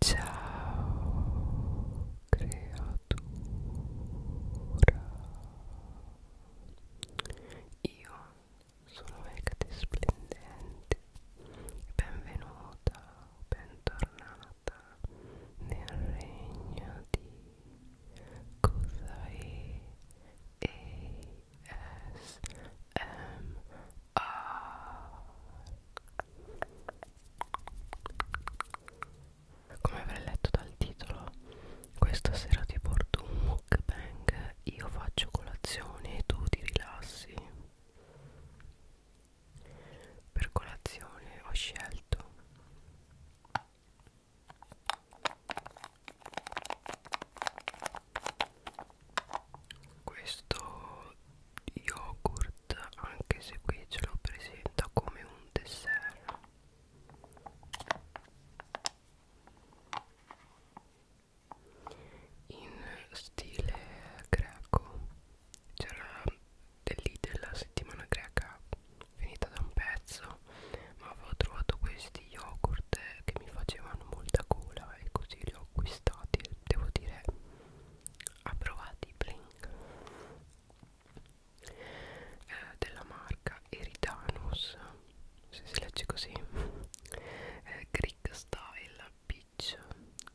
Ciao creatura Io sono Ecate Splendente Benvenuta, bentornata nel regno di Kusai ASMR uh, come avrei letto dal titolo questa sera ti porto un mukbang io faccio colazione e tu ti rilassi per colazione ho scelto questo yogurt anche se qui ce lo presenta come un dessert in stile greco c'era dell'idea la settimana greca finita da un pezzo ma avevo trovato questi yogurt che mi facevano molta gola e così li ho acquistati devo dire approvati Blink eh, della marca Eridanus se si legge così eh, Greek Style Peach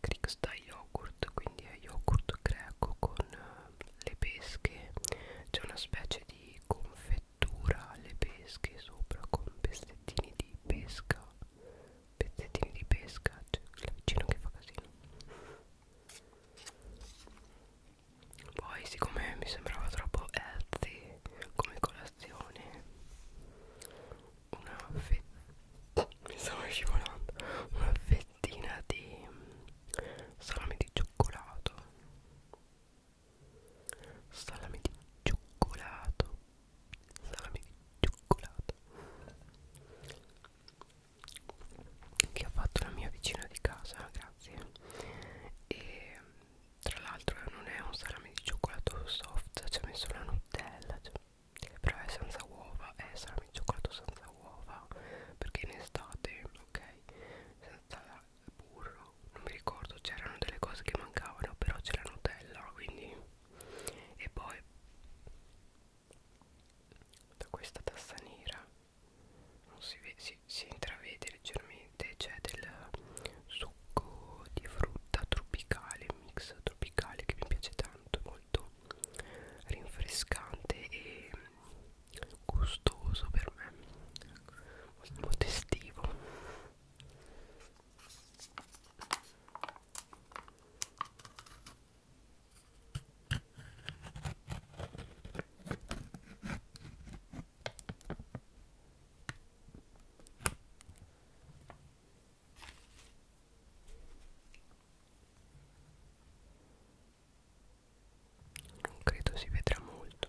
Greek Style Yogurt quindi è yogurt greco con eh, le pesche c'è una specie di confettura alle pesche sopra con pezzettini di pesca pezzettini di pesca c'è cioè la vicina che fa casino poi siccome mi sembrava troppo healthy come colazione una fettina mi stavo scivolando una fettina di salame di cioccolato salame di cioccolato salami di cioccolato che ha fatto la mia vicina di casa grazie e tra l'altro non è un salame di cioccolato soft ci ha messo la nutella cioè, però è senza uova è salame di cioccolato senza uova perché in estate ok senza burro non mi ricordo c'erano delle cose che mancavano però c'è la nutella quindi e poi da questa tassa nera non si, vede, si, si intravede leggermente c'è del succo di frutta tropicale mix tropicale che mi piace tanto molto rinfrescante e gustoso per me molto estivo non credo si vedrà molto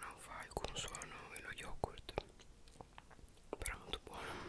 non fa alcun suono e lo yogurt però molto buono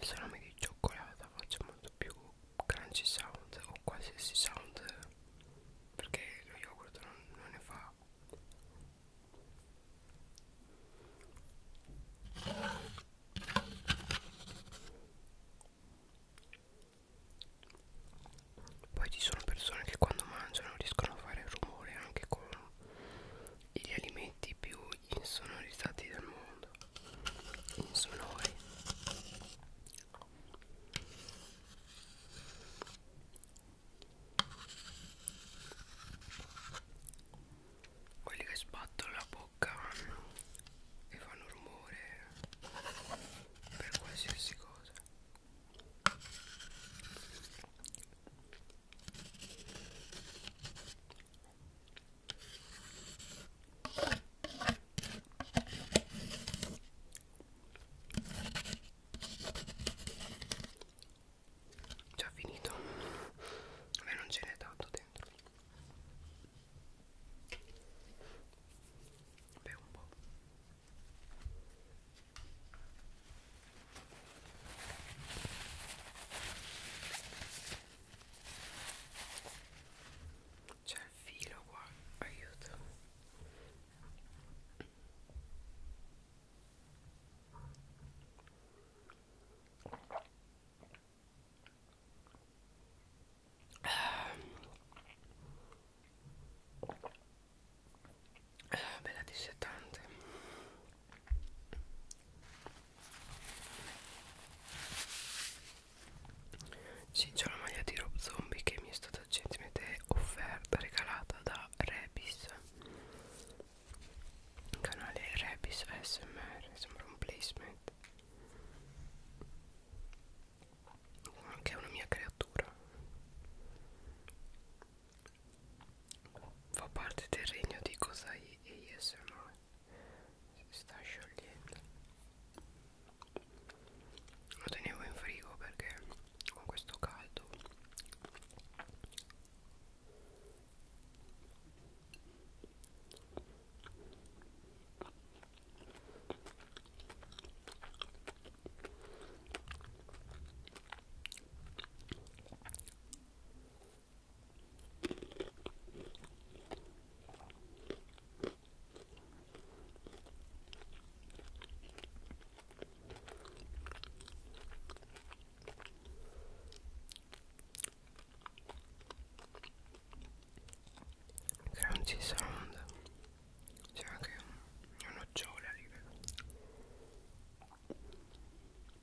il salame di cioccolata faccia molto più crunchy sound o qualsiasi sound perché lo yogurt non, non ne fa poi ci sono persone che quando mangiano riescono a fare rumore anche con gli alimenti più insonorizzati del mondo insonori quelli che sbattono la bocca e fanno rumore per qualsiasi cosa Già finito. Beh, non ce n'è tanto dentro. Beh, un po'. C'è cioè, il filo qua, aiuto. Ah, bella dissetante sì, c'è una maglia di Rob Zombie che mi è stata gentilmente offerta, regalata da Rebis il canale Rebis ASMR, sembra un placement che è una mia creatura fa parte del regno di Kosai e ASMR si sta sciogliendo lo tenevo in frigo perché con questo caldo Crunchy sound C'è anche un, una nocciola lì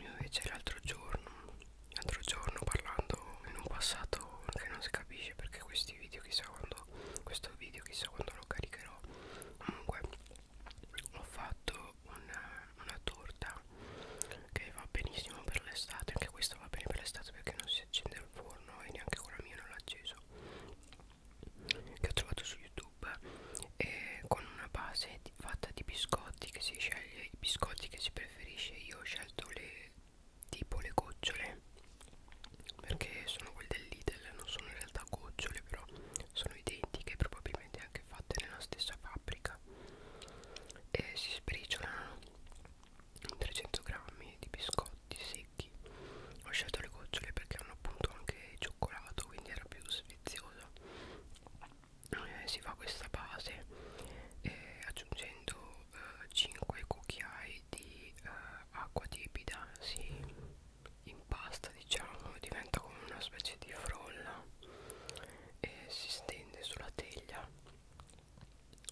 Io invece l'altro giorno, l'altro giorno parlando in un passato che non si capisce perché questi video chissà quando, questo video chissà quando lo caricherò Comunque ho fatto una, una torta che va benissimo per l'estate, anche questa va bene per l'estate perché non si accende il forno e neanche con la mia non l'ho acceso che ho trovato su youtube eh, con una base di, fatta di biscotti che si sceglie i biscotti che si preferisce io ho scelto le tipo le gocciole perché sono quelle del Lidl non sono in realtà gocciole però sono identiche probabilmente anche fatte nella stessa fabbrica e si sbriciolano 300 grammi di biscotti secchi secchi ho scelto le gocciole perché hanno appunto anche il cioccolato quindi era più sfiziosa eh, si fa questa base eh, aggiungendo eh, 5 cucchiai di eh, acqua tiepida si impasta diciamo diventa come una specie di frolla e si stende sulla teglia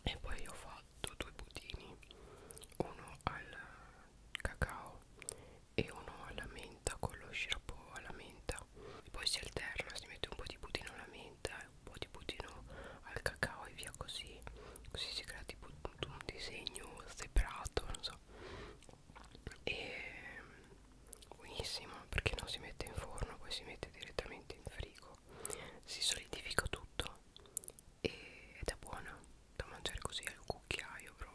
e poi ho fatto due budini uno al cacao e uno alla menta con lo sciroppo alla menta e poi si alterna, si mette un po' di budino alla menta e un po' di budino al cacao e via così così si crea tipo un disegno zebrato, non so e buonissimo perché non si mette in forno poi si mette direttamente in frigo si solidifica tutto ed è buona da mangiare così al cucchiaio proprio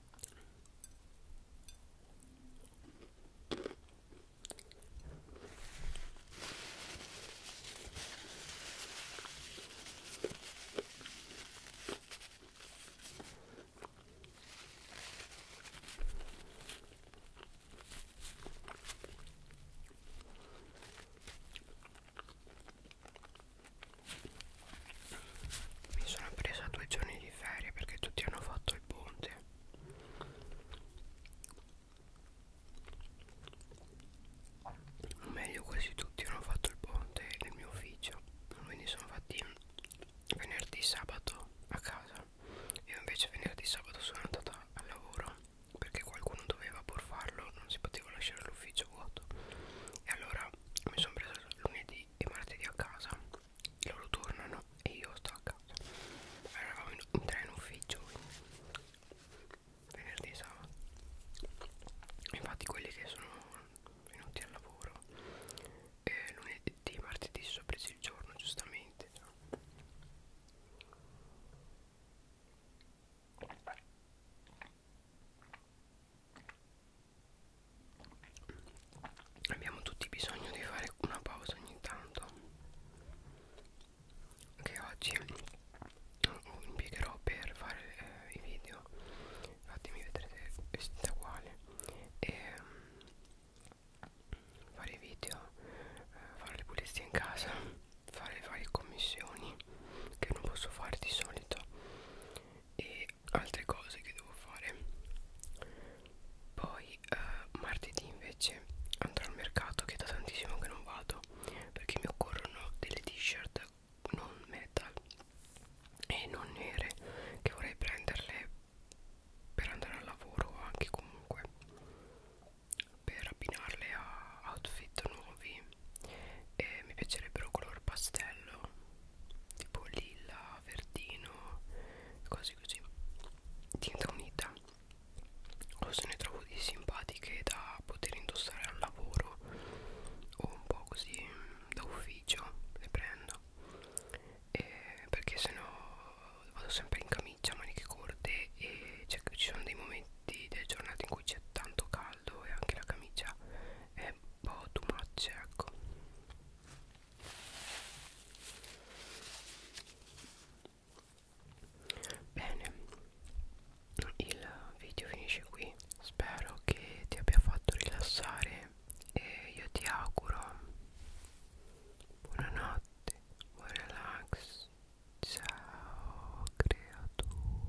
Mi sono presa due giorni di ferie perché tutti hanno fatto il ponte o meglio quasi tutti hanno fatto il ponte nel mio ufficio quindi sono fatti venerdì sabato a casa io invece venerdì sabato sono andata al lavoro perché qualcuno doveva pur farlo non si poteva lasciare l'ufficio vuoto e allora mi sono presa lunedì e martedì a casa loro tornano e io sto a casa eravamo in, in tre in ufficio venerdì e sabato infatti quelli che sono venuti al lavoro eh, lunedì martedì si sono presi il giorno giustamente no? abbiamo tutti bisogno di fare una pausa ogni tanto che oggi impiegherò per fare eh, i video fatemi vedere se vestita uguale e mm, fare i video eh, fare le pulizie in casa fare le varie commissioni che non posso fare di solito e e altre cose che devo fare poi eh, martedì invece andrò al mercato che da tantissimo che non vado perché mi occorrono delle t-shirt non metal e non nere che vorrei prenderle per andare al lavoro o anche comunque per abbinarle a outfit nuovi e mi piacerebbero color pastello tipo lilla, verdino, cose così tinta unita o se ne trovo di simpatiche da poter indossare al lavoro o un po' così mm, da ufficio le prendo e perché sennò vado sempre in camicia, maniche corte e cioè, ci sono dei momenti delle giornate in cui c'è tanto caldo e anche la camicia è un po' too much, ecco Bene, il video finisce qui. Spero che ti abbia fatto rilassare e io ti auguro buonanotte, buon relax. Ciao creatura.